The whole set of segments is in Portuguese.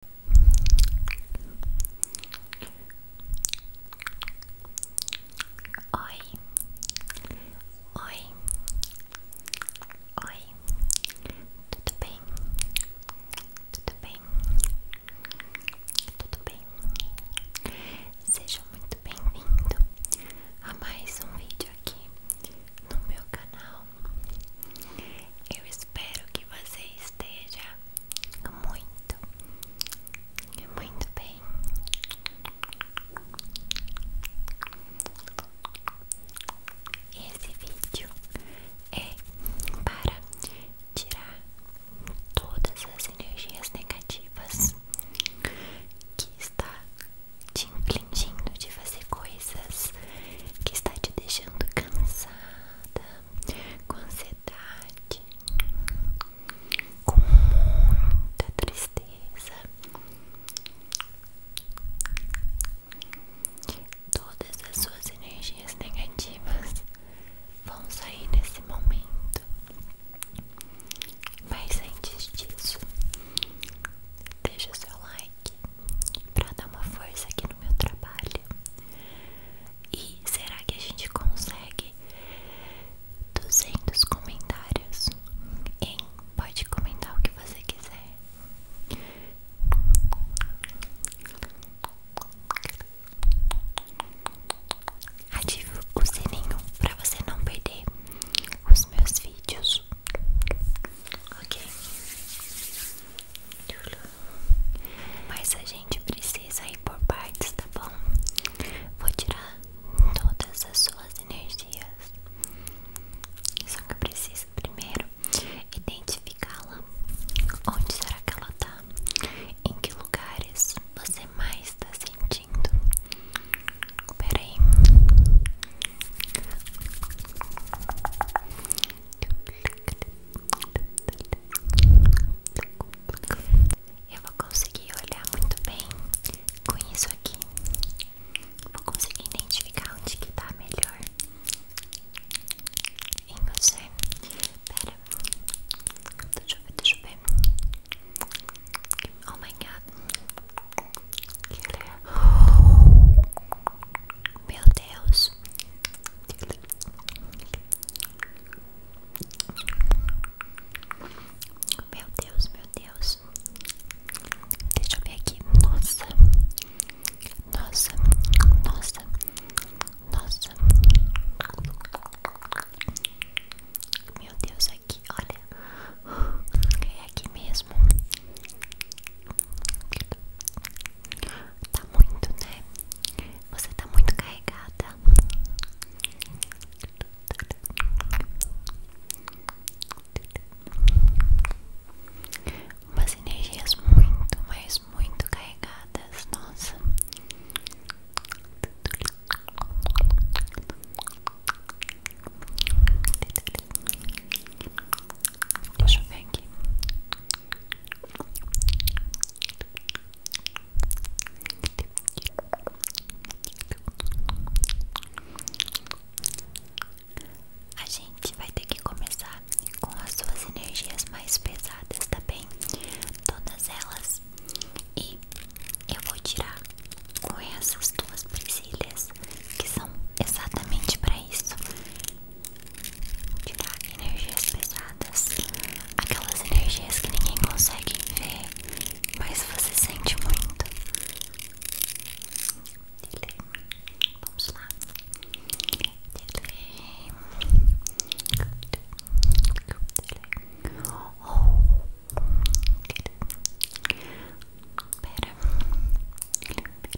Oi, oi, oi, tudo bem? Tudo bem? Tudo bem? Seja muito bem-vindo a mais um vídeo aqui no meu canal. Eu espero que você esteja muito, muito bem. Esse vídeo é para tirar todas as energias negativas que está te infligindo de fazer coisas que está te deixando cansada, com ansiedade, com muita tristeza. Todas as suas energias negativas vão sair nesse momento. Mas antes disso, deixa seu like para dar uma força aqui no meu trabalho. E será que a gente consegue 200 comentários? Pode comentar o que você quiser. Ative o sininho para você não perder os meus vídeos. Ok? Mas a gente precisa ir por partes, tá bom? Vou tirar todas as suas energias. Só que eu preciso primeiro identificá-la. Onde será que ela tá? Em que lugares você mais está sentindo? Peraí. Eu vou conseguir olhar muito bem com isso aqui. Vou conseguir identificar onde que tá melhor em você. Espera, deixa eu ver, deixa eu ver. Oh my god, que legal. Meu Deus. Meu Deus, meu Deus. Deixa eu ver aqui. Nossa. Nossa. Nossa. Nossa. Meu Deus, aqui, olha. É aqui mesmo. Tá muito, né? Você tá muito carregada. Umas energias muito, mas muito carregadas. Nossa. Deixa eu ver aqui. A gente vai ter que começar com as suas energias mais pesadas, tá bem? Todas elas. E eu vou tirar com essas tuas brincilhas que são exatamente para isso tirar energias pesadas, aquelas energias que ninguém consegue ver, mas você sente muito. Vamos lá. Dele. Oh. Pera. Pera.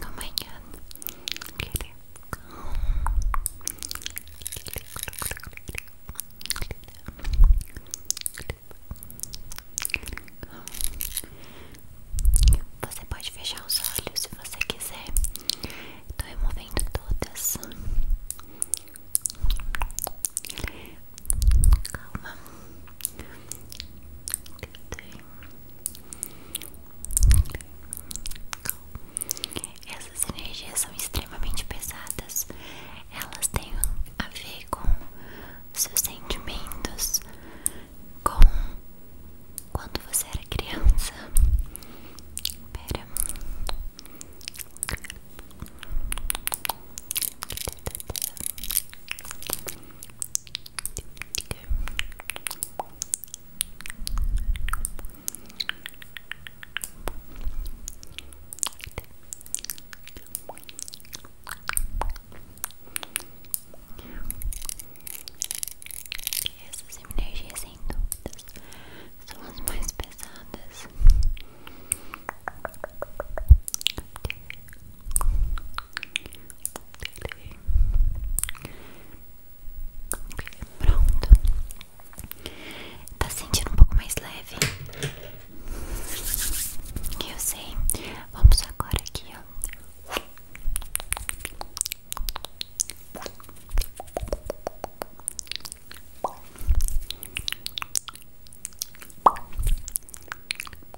Amanhã querer você pode fechar os olhos se você quiser. Estou removendo todas. Calma. Essas energias são extremamente pesadas. Elas têm a ver com seus sentimentos, com quando você era criança. Pera. Essas energias, sem dúvidas, são as mais pesadas. Pronto. Tá sentindo um pouco mais leve? Eu sei. Vamos agora aqui, ó.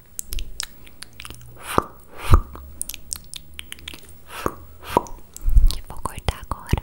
Que vou cortar agora.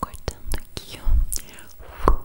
Cortando aqui, ó. Fum,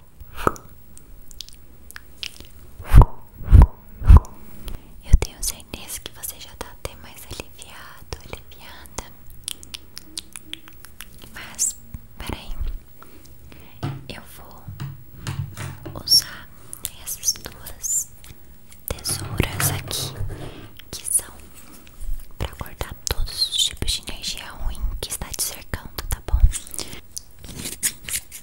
Eu tenho certeza que você já tá até mais aliviado, aliviada. Mas, peraí, eu vou usar essas duas tesouras aqui que são para cortar todos os tipos de energia ruim que está te cercando, tá bom?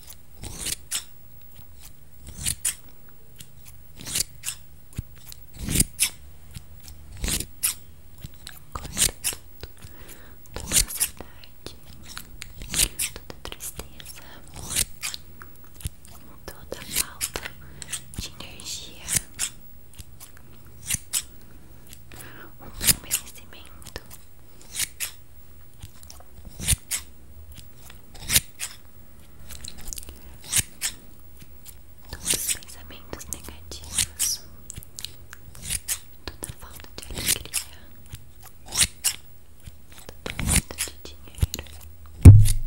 Corta tudo, toda ansiedade, toda tristeza, toda falta de energia, um envelhecimento. Todos os pensamentos negativos, toda falta de alegria, toda falta de dinheiro.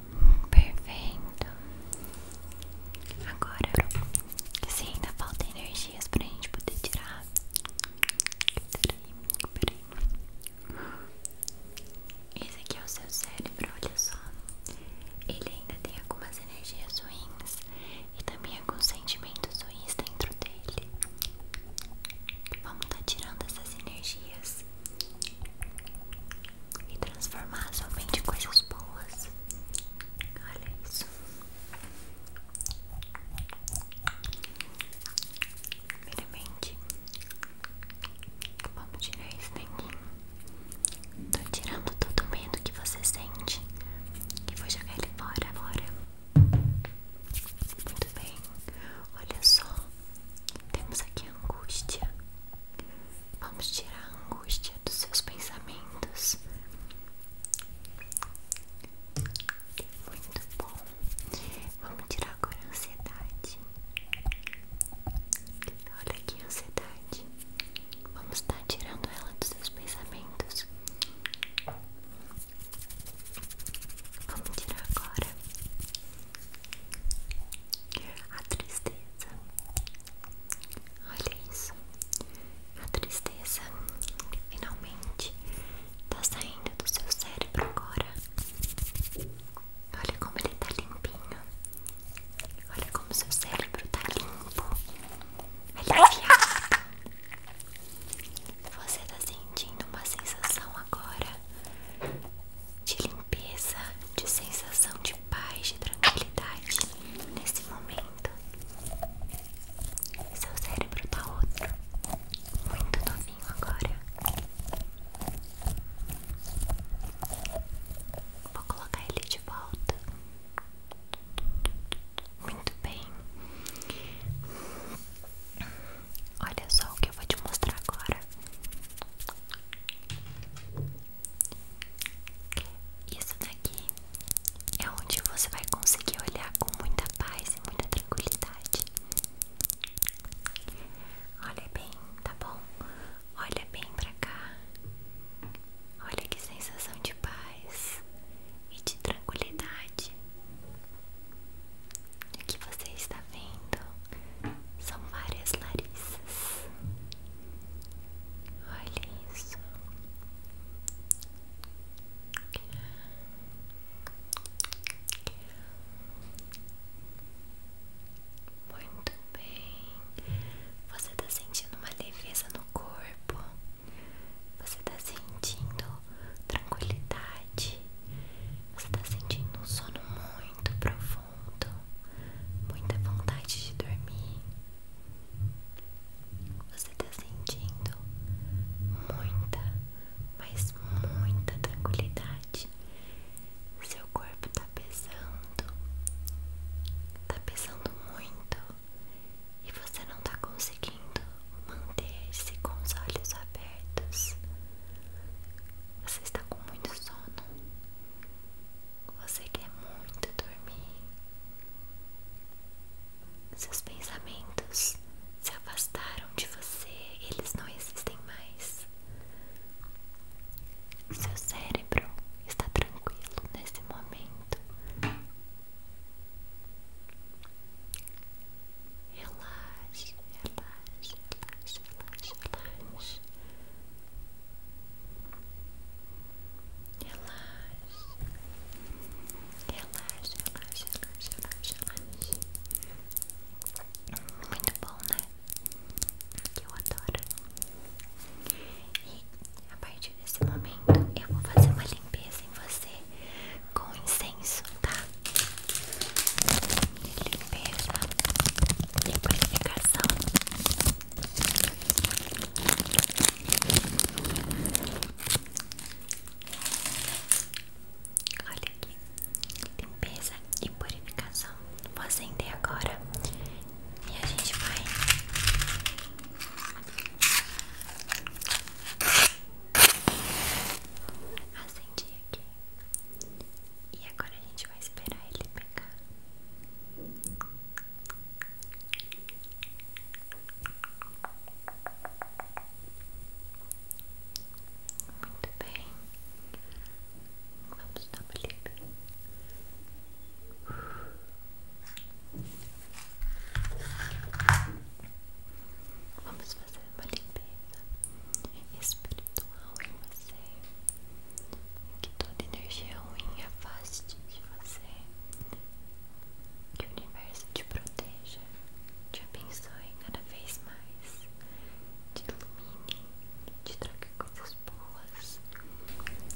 Perfeito. Agora, se ainda falta energias pra gente poder tirar. Peraí, peraí. Esse aqui é o seu cérebro, olha só. Ele ainda tem algumas energias ruins e também alguns sentimentos ruins dentro dele. Vamos estar tá tirando essas energias e transformar somente em coisas boas. Olha isso. Primeiramente, vamos tirar isso daqui. Tô tirando todo o medo que você sente. E vou jogar ele fora agora. Muito bem. Olha só. Temos aqui a angústia. Vamos tirar a angústia dos seus pensamentos. Muito bom. Vamos tirar agora a ansiedade. Olha aqui ansiedade. Vamos estar tá tirando ela dos seus pensamentos. Vamos tirar agora a tristeza. Olha isso, a tristeza finalmente está saindo do seu cérebro agora. Olha como ele está limpinho. Olha como seu cérebro está limpo. Aliviado. É Você está sentindo uma sensação agora de limpeza, de sensação de paz, de tranquilidade nesse momento. Seu cérebro tá outro, muito novinho agora. Vou colocar ele de volta. Muito bem. Olha só o que eu vou te mostrar agora. Isso daqui é onde você vai conseguir olhar com muita paz e muita tranquilidade. Olha bem, tá bom? Olha bem pra cá. Olha que sensação de paz e de tranquilidade. O que você está vendo são várias Larissas. Olha isso. Muito bem. Você está sentindo uma leveza no corpo. Você está sentindo tranquilidade. Você está sentindo um sono muito profundo sono, muita vontade de dormir. Você está sentindo muita, mas muita tranquilidade. Seu corpo está pesando, está pesando muito e você não está conseguindo manter-se com os olhos abertos. Você está com muito sono. Você quer muito dormir. Seus pensamentos se afastaram de você, eles não existem mais. Seu cérebro está tranquilo nesse momento. Relaxe, relaxe, relaxe, relaxe, relaxe. Relaxa, relaxa, relaxa, relaxa, relaxa, Muito bom, né? Que eu adoro. E a partir desse momento eu vou fazer uma limpeza em você com incenso, tá? Limpeza limpeza de purificação. Olha aqui, limpeza e purificação. Vou acender agora e a gente vai. acender aqui. E agora a gente vai esperar ele pegar. Muito bem. Vamos dar uma limpa. Vamos fazer uma limpeza espiritual em você que toda energia ruim afaste de você, que o universo te proteja, te abençoe cada vez mais, te ilumine, te traga coisas boas,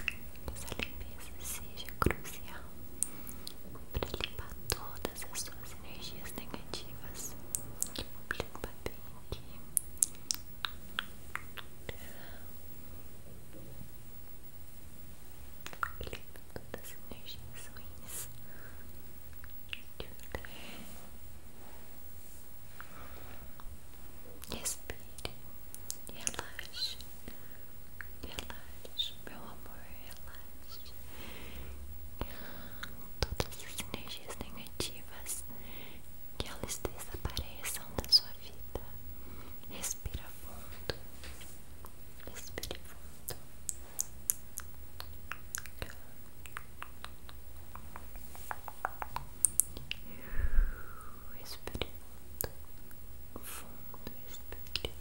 que essa limpeza seja crucial para limpar todas as suas energias negativas. Que limpar bem aqui Elimina todas tá as energias ruins de Respire, relaxe, relaxe, meu amor, relaxe. Todas as energias negativas que elas desapareçam da sua vida. Respira fundo, respire fundo. Respire fundo, fundo, respire.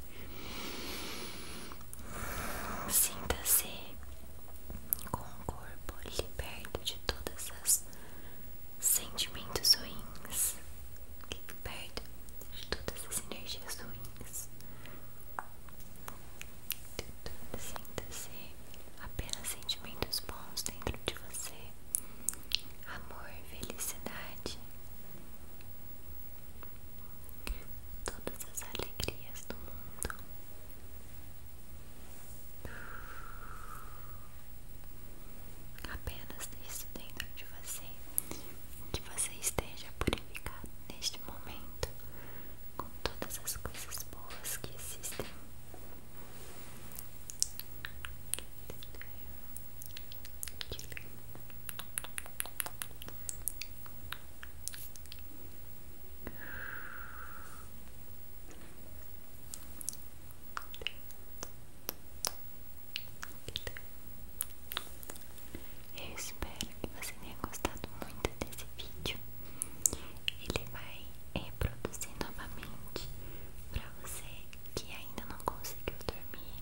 Sinta-se com o corpo liberto de todas as sentimentos ruins, que perto de todas as energias ruins. de tudo Sinta-se apenas sentimentos bons dentro de você, amor, felicidade, todas as alegrias do mundo. Apenas isso dentro de você, que você esteja purificado neste momento com todas as coisas boas que existem. Eu espero que você tenha gostado muito desse vídeo. Ele vai reproduzir é, novamente para você que ainda não conseguiu dormir.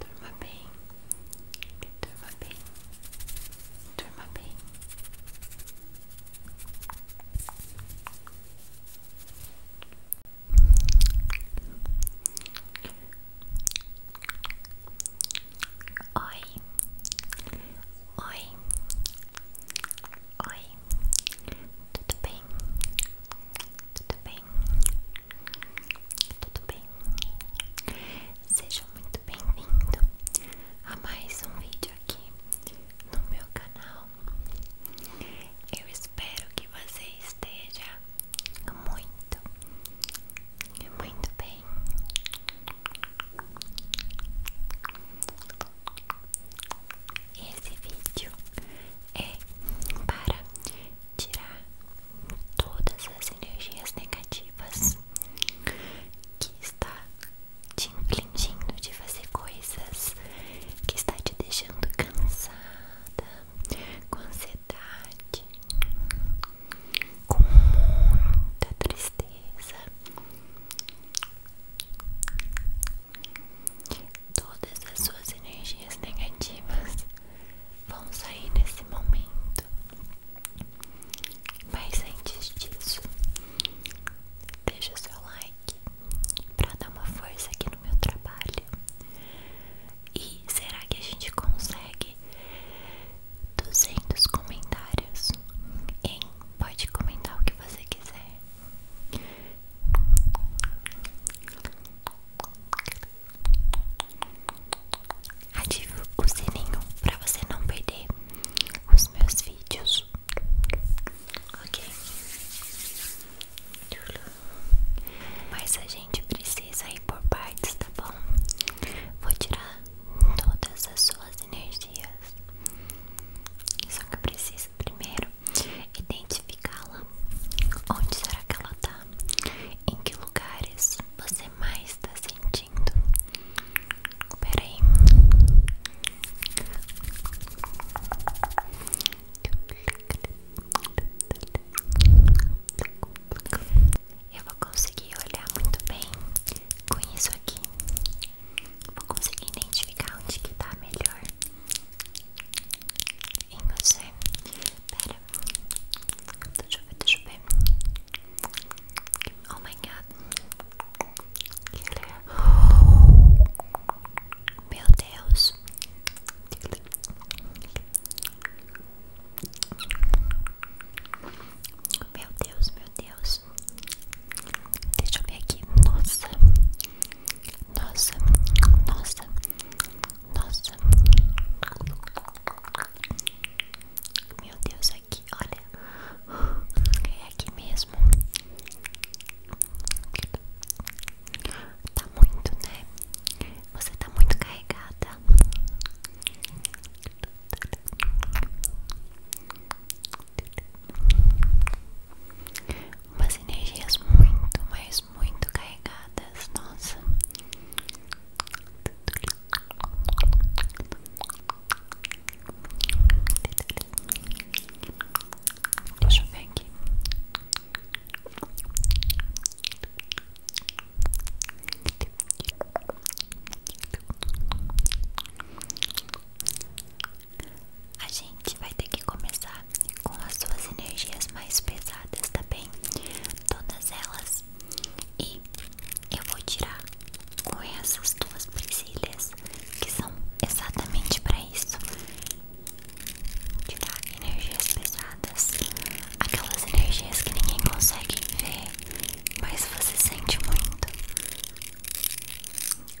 Durma bem, durma bem, durma bem. Oi, oi, oi, tudo bem? Tudo bem? Tudo bem? sejam muito bem vindos a mais um vídeo aqui no meu canal. Eu espero que você esteja muito, muito bem. Esse vídeo é para tirar todas as energias negativas que está te impingindo de fazer coisas, que está te deixando cansada, com ansiedade, com muita tristeza. Todas as suas energias negativas vão sair nesse momento. Mas antes disso, deixa seu like para dar uma força aqui no meu trabalho. E será que a gente consegue 200 comentários? pode comentar o que você quiser. Ative o sininho para você não perder os meus vídeos. Ok? Mas a gente precisa ir por partes, tá bom? Vou tirar todas as suas energias. Só que precisa primeiro identificá-la. Onde será que ela tá? Em que lugares você mais está sentindo? Peraí. Eu vou conseguir olhar muito bem com isso aqui. Vou conseguir identificar onde que tá melhor em você. Pera, deixa eu ver, deixa eu ver. Oh my é- meu Deus. Meu Deus, meu Deus. Deixa eu ver aqui. Nossa, nossa, nossa, nossa. Meu Deus, aqui, olha. É aqui mesmo. Tá muito, né? Você tá muito carregada umas energias muito, mas muito carregadas. Nossa. Deixa eu ver aqui. A gente vai ter que começar com as suas energias mais pesadas, tá bem? Todas elas. E eu vou tirar com essas duas brincilhas que são exatamente para isso. Tirar energias pesadas, aquelas energias que ninguém consegue ver, mas você sente muito.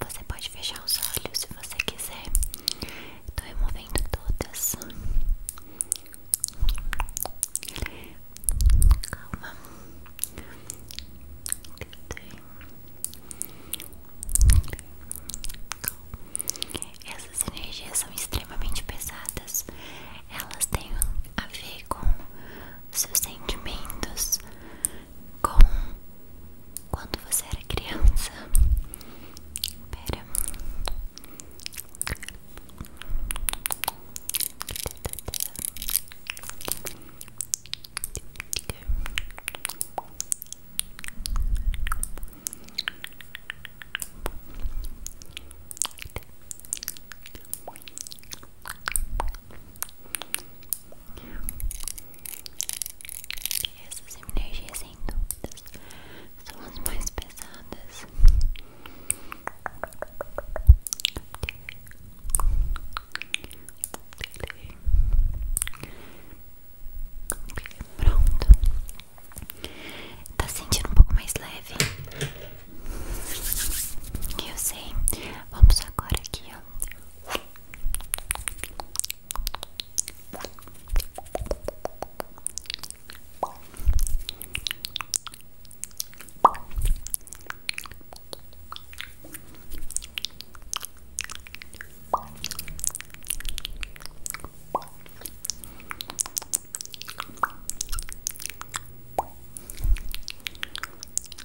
Você pode fechar os olhos se você quiser. Estou removendo todas. Calma. Essas energias são extremamente pesadas. Elas têm a ver com seus sentimentos com quando você era criança. E essas energias sem dúvidas são as mais pesadas. Pronto. Tá sentindo um pouco mais leve? Eu sei. Vamos agora aqui, ó.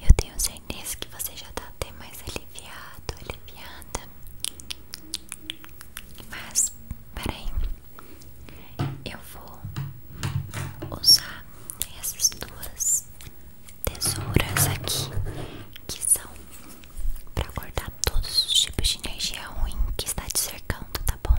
Eu tenho certeza que você já está até mais aliviado, aliviada. Mas, peraí eu vou usar essas duas tesouras aqui que são para cortar todos os tipos de energia ruim que está te cercando, tá bom?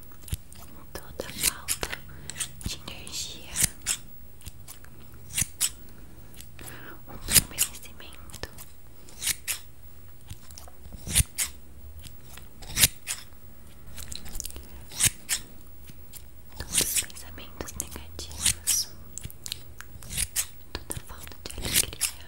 toda falta de energia, um convencimento. Todos os pensamentos negativos, toda falta de alegria,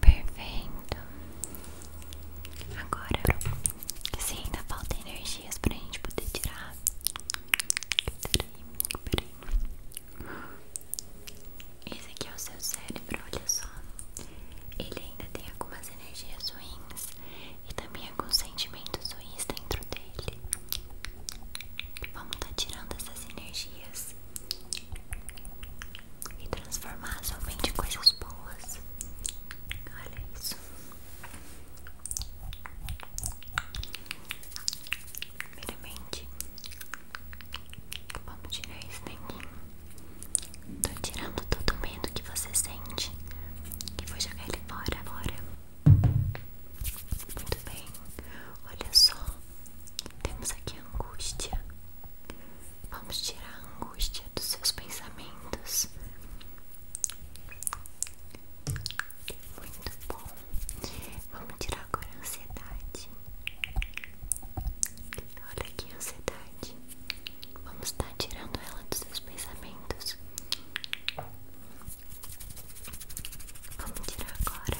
Perfeito. Agora, se ainda falta energias pra gente poder tirar. Peraí, Esse aqui é o seu cérebro, olha só. Ele ainda tem algumas energias ruins e também alguns sentimentos ruins dentro dele. Vamos estar tá tirando essas energias e transformar somente em coisas boas. Olha isso. Primeiramente, vamos tirar isso daqui. Estou tirando todo o medo que você sente e vou jogar ele fora agora. Muito bem, olha só, temos aqui a angústia. Vamos tirar a angústia dos seus pensamentos. Muito bom. Vamos tirar agora a ansiedade. Olha aqui ansiedade. Vamos estar tá tirando ela dos seus pensamentos. Vamos tirar agora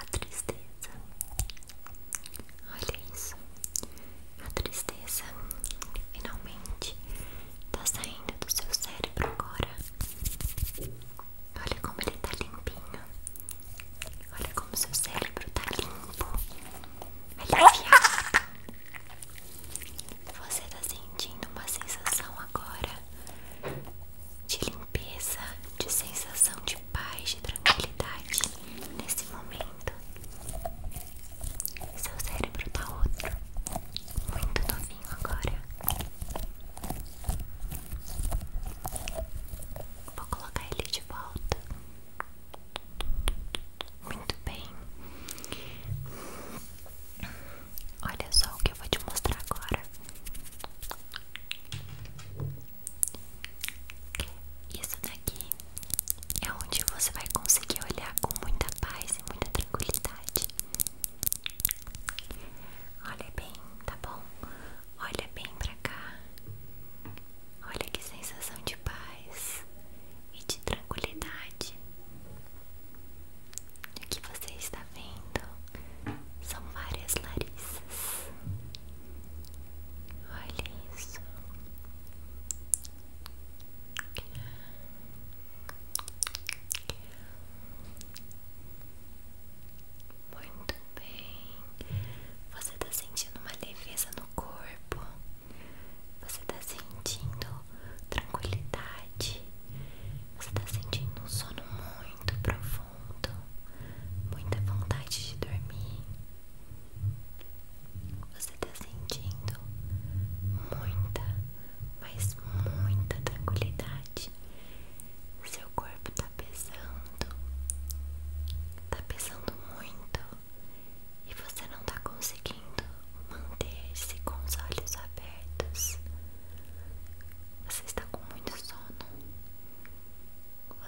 a tristeza. Olha isso. A tristeza finalmente está saindo do seu cérebro agora. Olha como ele está limpinho. Olha como seu cérebro tá limpo. Aliviado. Você tá sentindo uma sensação agora de limpeza, de sensação de paz, de tranquilidade nesse momento. Seu cérebro tá outro, muito novinho agora. Vou colocar ele de volta. Muito bem. Olha só o que eu vou te mostrar agora. Isso daqui é onde você vai conseguir olhar com muita paz e muita tranquilidade. Olha bem, tá bom? Olha bem pra cá. Olha que sensação de paz e de tranquilidade. O que você está vendo são várias Larissas. Olha isso. Muito bem. Você tá sentindo uma leveza no corpo. Você tá sentindo tranquilidade. Você tá sentindo um sono muito profundo. Muita vontade de dormir. Você tá sentindo muita, mas muita tranquilidade. Seu corpo tá tá pesando, tá pesando muito e você não tá conseguindo manter-se com os olhos abertos. Você está com muito sono.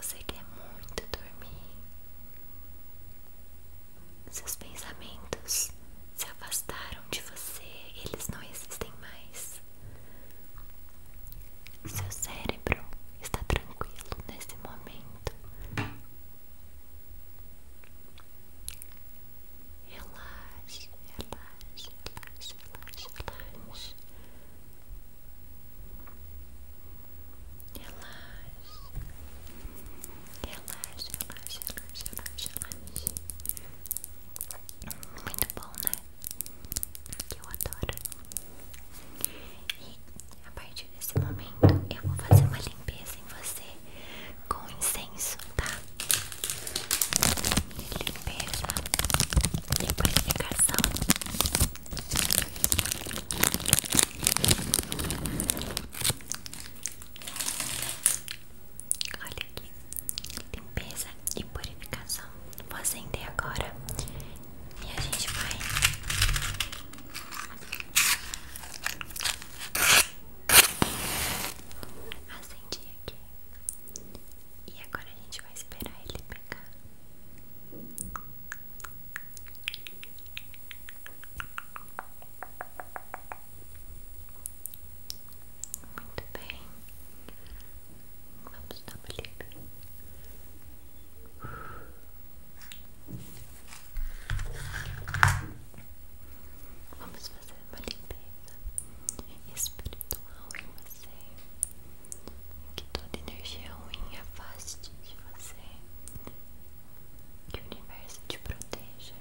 Você quer muito dormir. Seus pensamentos se afastaram de você, eles não existem mais. Seu cérebro está tranquilo nesse momento. Relaxe, relaxe, relaxe, relaxe, relaxe. Relaxe. Relaxe, relaxe, relaxe, relaxe, Muito bom, né? que eu adoro. E a partir desse momento eu vou fazer uma limpeza em você com incenso, tá? Limpeza, liquidificação. Olha aqui, limpeza e purificação. Vou acender agora e a gente vai. acender aqui e agora a gente vai esperar ele pegar. Muito bem, Vamos dar uma lida. Vamos fazer uma limpeza espiritual em você. Que toda energia ruim afaste de você. Que o universo te proteja,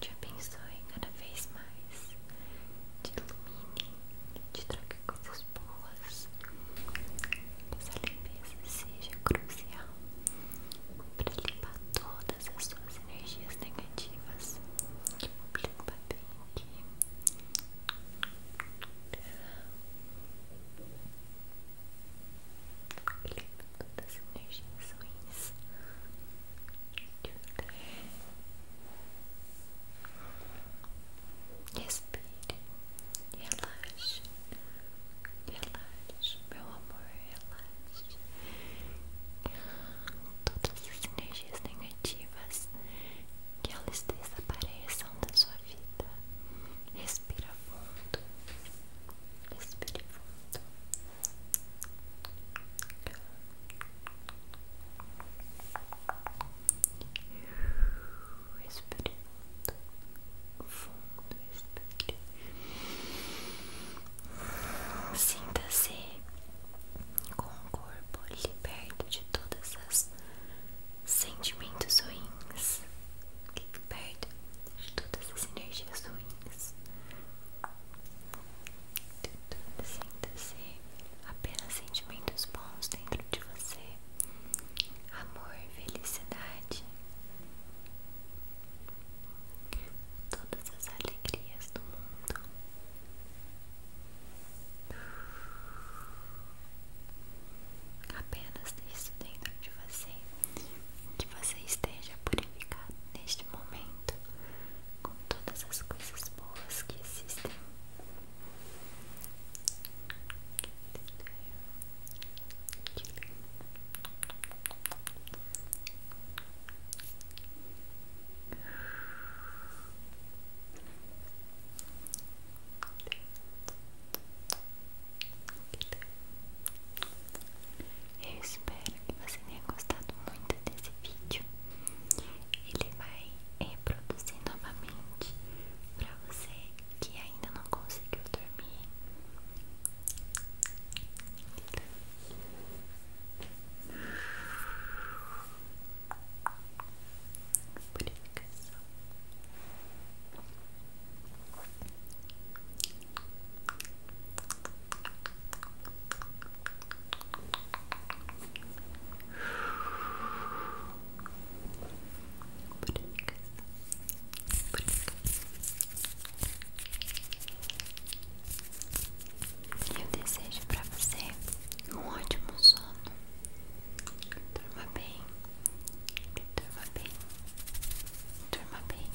te abençoe cada vez mais, te ilumine, te traga coisas boas. Essa limpeza seja crucial para limpar todas as suas energias negativas. Que tipo, limpa bem aqui. Limpa todas as energias ruins. Limpa Respire, relaxe, relaxe, meu amor, relaxe. Todas as energias negativas que elas desapareçam da sua vida. Respira fundo, respire fundo. Respirando fundo, respire. Sinta-se com o corpo liberto de todas as sentimentos ruins, liberto de todas as energias ruins. Sinta-se apenas sentimentos bons dentro de você, amor, felicidade, todas as alegrias do mundo. Apenas isso dentro de você, que você esteja purificado neste momento com todas as coisas boas que existem eu espero que você tenha gostado muito desse vídeo ele vai reproduzir eh, novamente para você que ainda não conseguiu dormir. Eu desejo para você um ótimo sono. Durma bem. Durma bem. Durma bem.